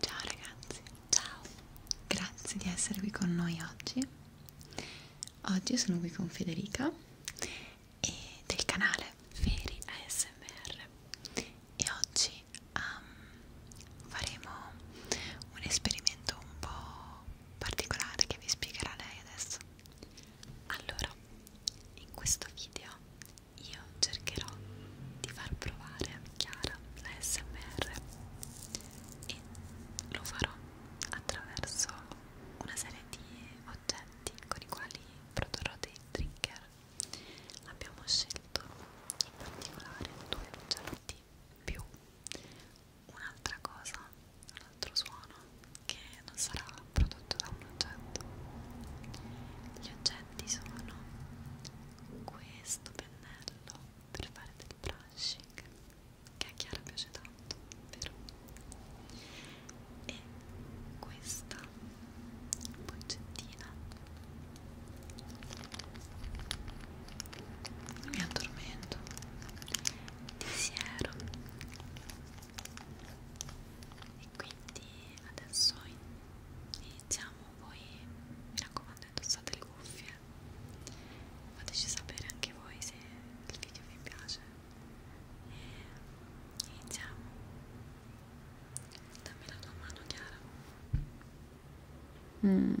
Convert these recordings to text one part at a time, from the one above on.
Ciao ragazzi, ciao, grazie di essere qui con noi oggi. Oggi sono qui con Federica e del canale Feri ASMR e oggi um, faremo un esperimento un po' particolare che vi spiegherà lei adesso. Allora, in questo video io cercherò di far provare a Chiara la SMR e lo farò attraverso una serie di oggetti con i quali produrrò dei trigger. Abbiamo scelto in particolare due oggetti più un'altra cosa, un altro suono che non sarà prodotto da un oggetto. Gli oggetti sono questo pennello per fare del brushing che a Chiara piace tanto, vero? E questa boccettina mi addormento di siero e quindi adesso iniziamo voi mi raccomando indossate le cuffie fateci sapere anche voi se il video vi piace e iniziamo dammi la tua mano Chiara mm.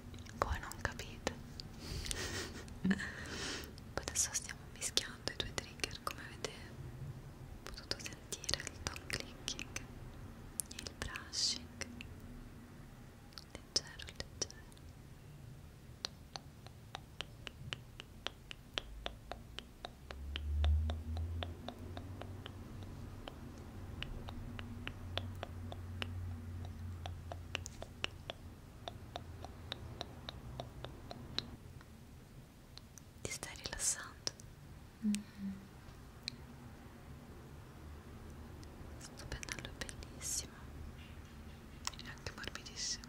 voi non capite adesso stiamo mischiando i due trigger come avete potuto sentire il tongue clicking e il brushing leggero leggero ti stai rilassando? Mm -hmm. Sto pennello è bellissimo e anche morbidissimo.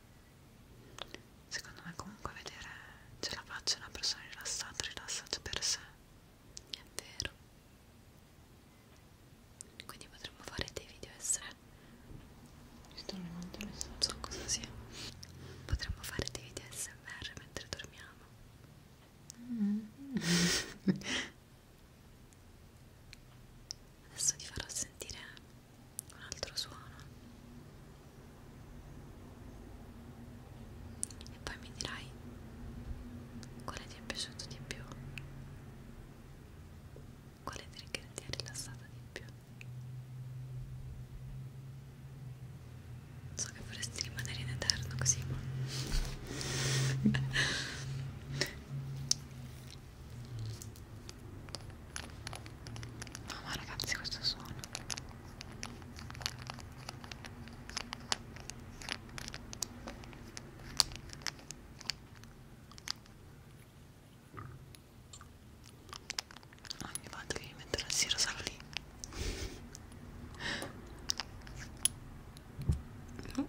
secondo me comunque vedere ce la faccia una persona rilassata rilassata per sé è vero quindi potremmo fare dei video essere sto arrivando non so cosa sia potremmo fare dei video smr mentre dormiamo mm. adesso ti farò sentire un altro suono e poi mi dirai quale ti è piaciuto di più quale trigger ti ha rilassata di più so che vorresti rimanere in eterno così ma No ma ragazzi questo suono Ogni volta che mi metto la siro sarò lì no.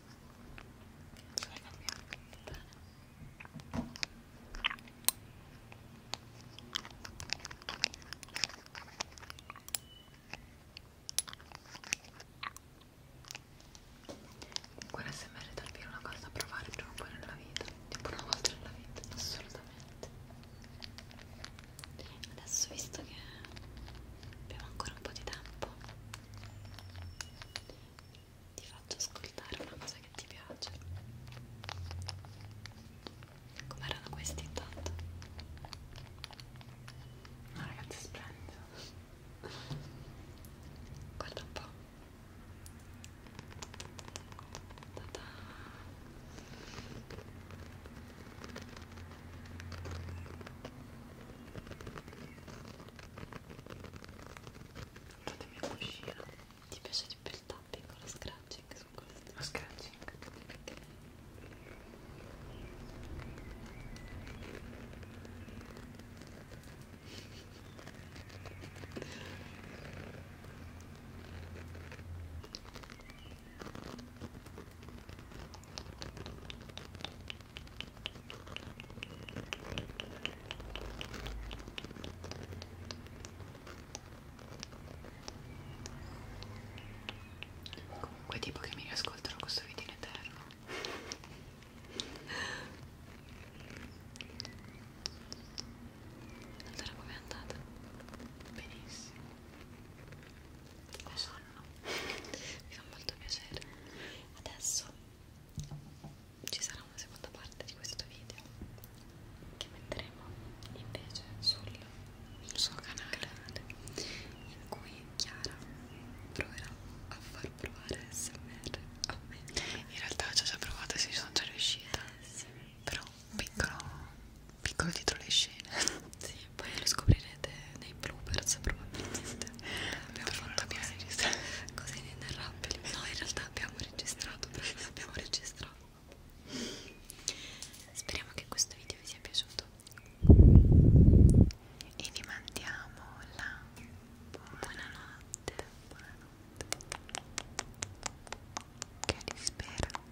ce la cambiamo Quella sembra davvero una cosa da provare prima o poi nella vita, tipo una volta nella vita, assolutamente. Adesso visto che abbiamo ancora un po' di tempo ti faccio ascoltare una cosa che ti piace com'erano questi intanto? ma ragazzi splendido guarda un po' Ta -ta. Fatemi un cuscino. Ti piace di più il tapping o lo scratching su questo? Lo scratching. Perché? Comunque tipo che mi riascoltano questo video in eterno Allora com'è andata? Benissimo lo sanno, mi fa molto piacere. Adesso ci sarà una seconda parte di questo video che metteremo invece sul suo canale in cui Chiara proverà a far provare SMR a me. In realtà ci ho già provato e ci sono già riuscita, eh, sì. però piccolo piccolo dietro le scene sì, poi lo scoprirete nei bloopers probabilmente abbiamo fatto cose, cose inenarrabili no in realtà abbiamo registrato perché abbiamo registrato speriamo che questo video vi sia piaciuto e vi mandiamo la buonanotte buonanotte che vi spera